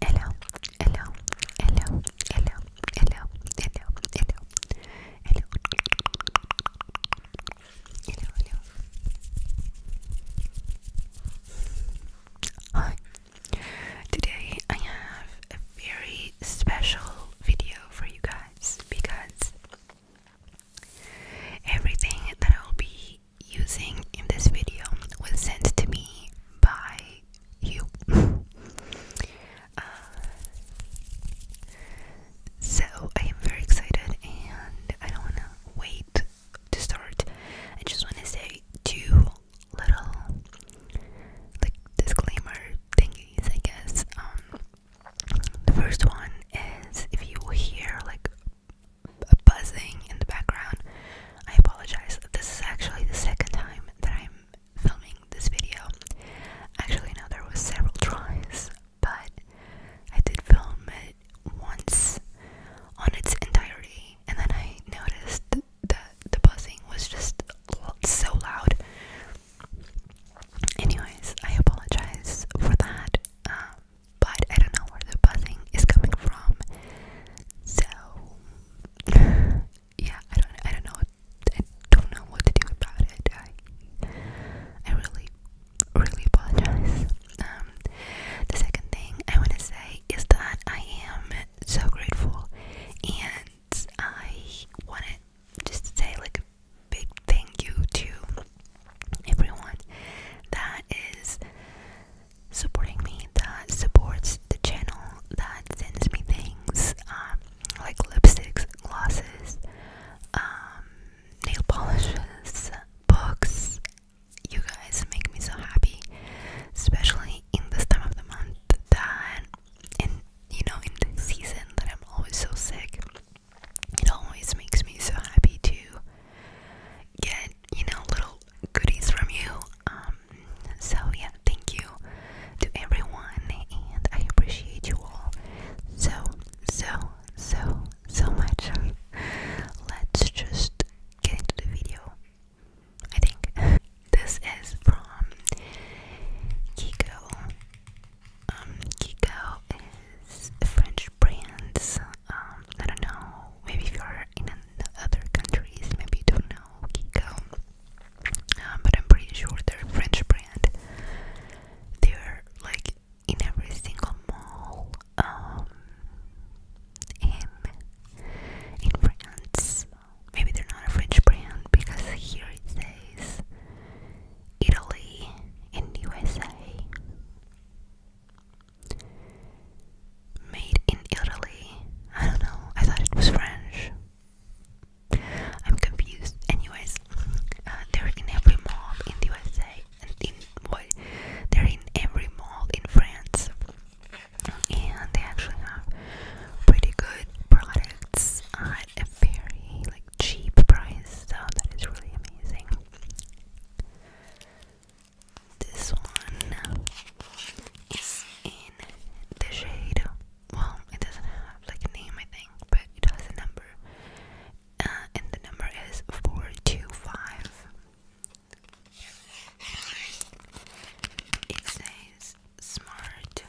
Hello, hello, hello, hello, hello, hello, hello, hello, hello, hello. Hi. Today I have a very special video for you guys because everything that I'll be using in this video was sent to me by you. Uh, so I am very excited and I don't want to wait to start. I just want to say two little like disclaimer thingies, I guess. Um, the first one is if you hear like a buzzing in the background. I apologize. This is actually the second time that I'm filming this video. Actually, no, there was several tries, but I did film it once on its entirety, and then I noticed that the buzzing was just so loud. Anyways, I apologize for that. Um, but I don't know where the buzzing is coming from. So yeah, I don't I don't know I don't know what to do about it. I I really really apologize. Um, the second thing I wanna say is that I am so grateful and I wanna say like a big thank you to everyone that is supporting me that supports the channel that sends me things um, like lipsticks, glosses, um, nail polishes, books. You guys make me so happy, especially in this time of the month that, and you know, in the season that I'm always so sick. It always makes me so happy to get, you know, little goodies from you. Um, so yeah, thank you to everyone, and I appreciate you all so, so, so, so much. Let's just get into the video. I think this is from Kiko. Um, Kiko is French brand. Um, I don't know, maybe if you're in other countries, maybe don't know Kiko, um, but I'm pretty sure they're French brand. They're like in every single mall um, in, in France. Maybe they're not a French brand because here it says Italy and USA. Made in Italy. I don't know. I thought it was French. I'm confused. Anyways, uh, they're in every mall in the USA, and in they're in every mall in France, and they actually have pretty good products at a very like cheap price. So that is really amazing. This one is in the shade. Well, it doesn't have like a name, I think, but it has a number, uh, and the number is four two five. It says smart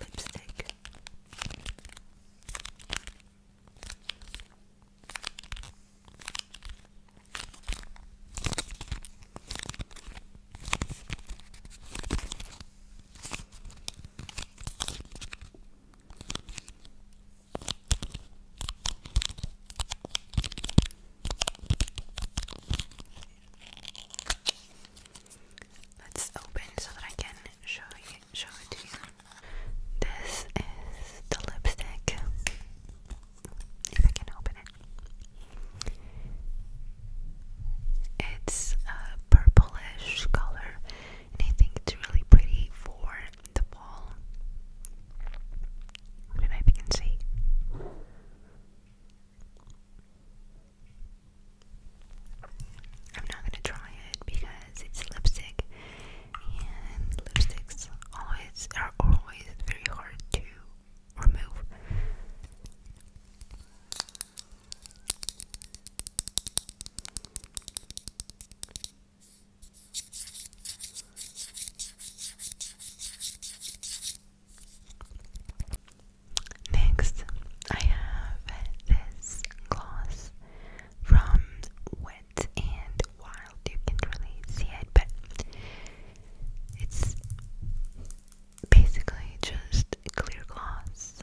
lipstick. Let's open so that I can show you show it to you. This is the lipstick. If I can open it. It's a purplish color, and I think it's really pretty for the fall. And I can see. I'm not gonna try it because it's lipstick and lipsticks always are always very hard to remove. Next, I have this gloss from Wet and wild, you can't really see it, but it's basically just clear gloss.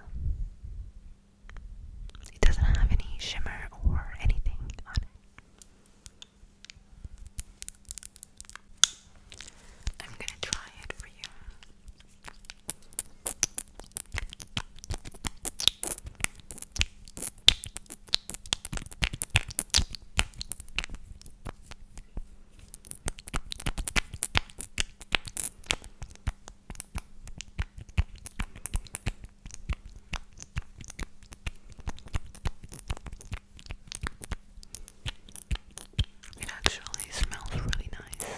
It doesn't have any shimmer or anything on it. I'm gonna try it for you. It actually smells really nice.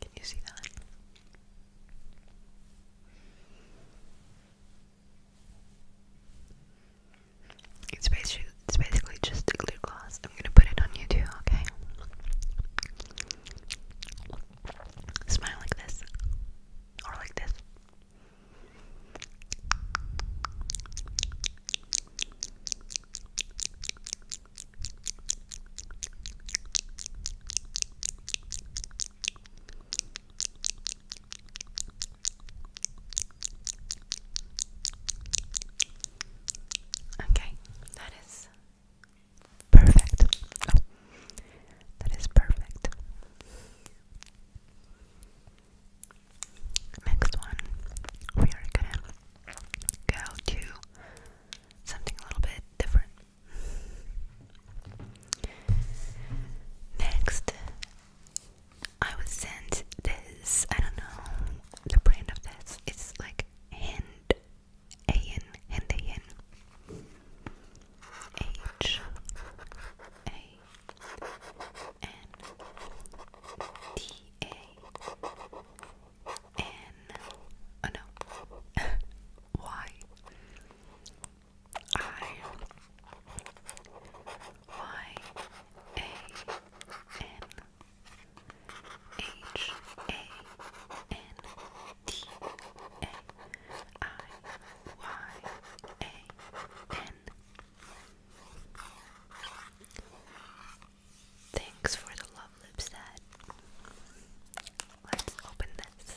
Can you see that? It's basically, just a glue glass. I'm gonna put it on you too, okay? Smile like this, or like this. Okay, that is perfect. Oh, that is perfect. Next one, we are gonna go to something a little bit different. Next I was sent this. I don't know the brand of this. It's like Hind Oh no. y I Y A N H A N D A I Y A N Thanks for the love lips that Let's open this.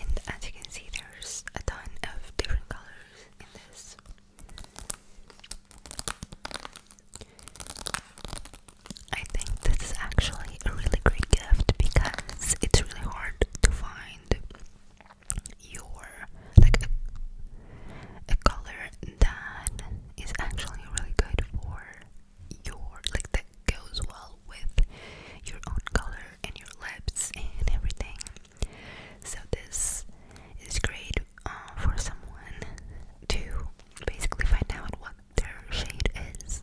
and as you can see there's a ton of different colors in this I think this is actually a really great gift because it's really hard to find your like a, color that is actually really good for your like that goes well with your own color and your lips and everything. So this is great uh, for someone to basically find out what their shade is.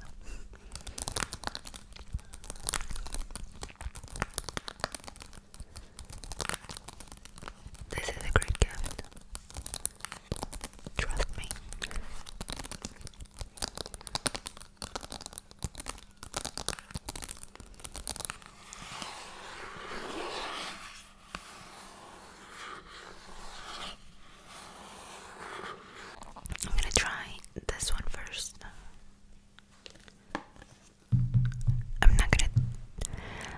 This is a great gift. Trust me. I'm gonna try this one first. I'm not gonna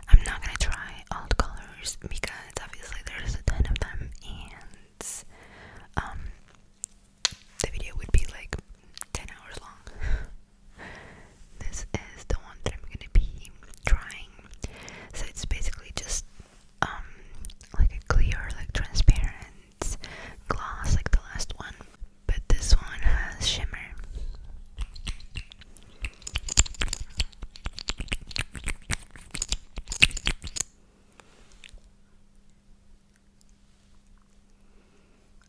I'm not gonna try all the colors because obviously there's a ton of them and um, the video would be like 10 hours long. this is the one that I'm gonna be trying. So it's basically just um like a clear, like transparent glass, like the last one. But this one has shimmer.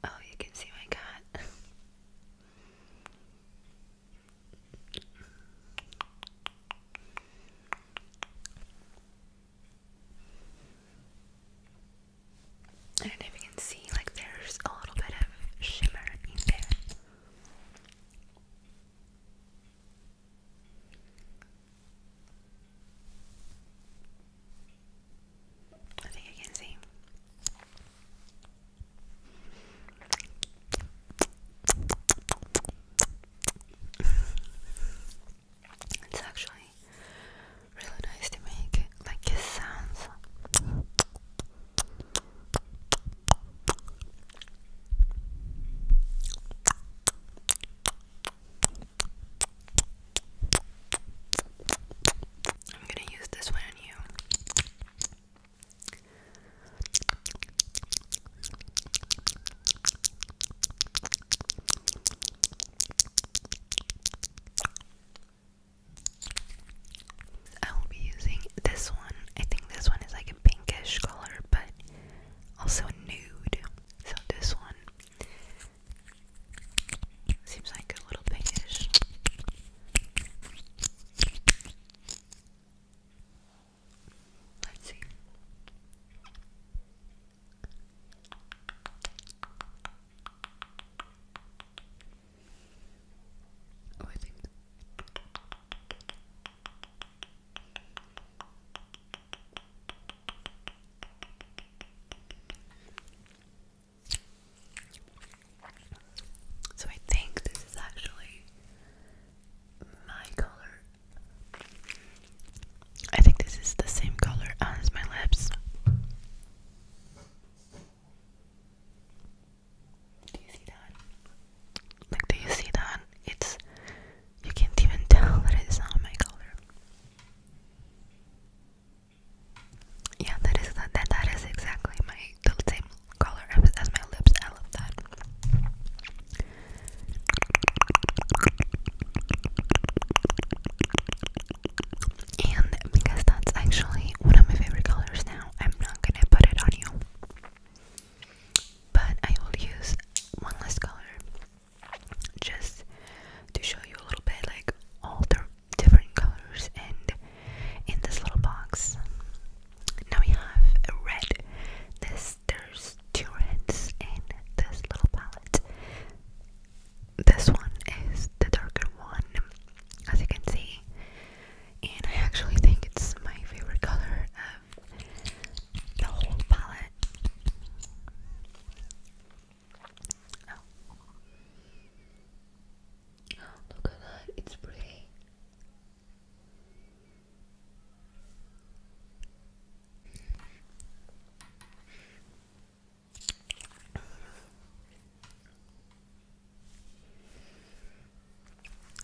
Oh, you can see my cat. I don't know if you can see, like, there's a little bit of shimmer in there. I think I can see. It's actually really nice to make like kiss sounds. I'm gonna use this one on you. I will be using this one. I think this one is like a pinkish color, but also nude. So this one seems like a little pinkish. Let's see. Oh, I think. So I think this is actually my color. I think this is the same color as my lips. Do you see that? Like, do you see that? It's you can't even tell that it's not my color. Yeah, that is that that, that is exactly my the color as my lips. I love that. And because that's actually one of my favorite colors now, I'm not gonna put it on you but I will use one less color just to show you a little bit like all the different colors and in this little box now we have red there's two reds in this little palette this one is the darker one as you can see and I actually think it's my favorite color uh, the whole palette. oh, look at that, it's pretty.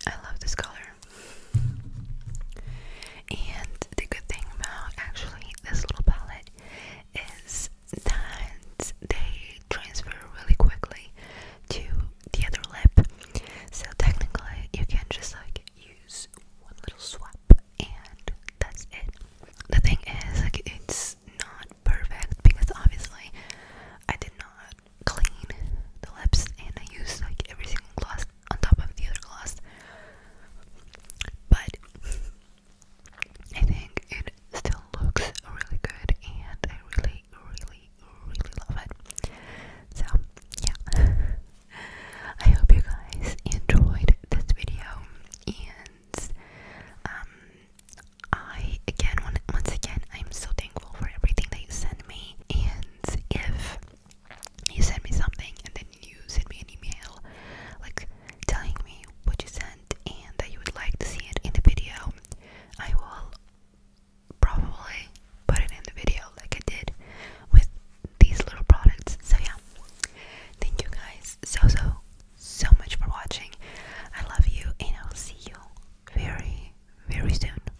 I love this color. And the good thing about actually this little palette is that they transfer really quickly to the other lip. So technically, you can just like use one little swap and that's it. The thing is, like, it's not perfect because obviously I did not clean the lips and I use like every single gloss on top of the other gloss. But I think it still looks really good and I really, really, really love it. So, yeah. I hope you guys enjoyed this video and um I again once again I'm so thankful for everything that you send me and if you sent me something and then you sent me an email like telling me what you sent and that you would like to see it in the video I will probably put it in the video like I did with these little products so yeah thank you guys so so so much for watching I love you and I'll see you very very soon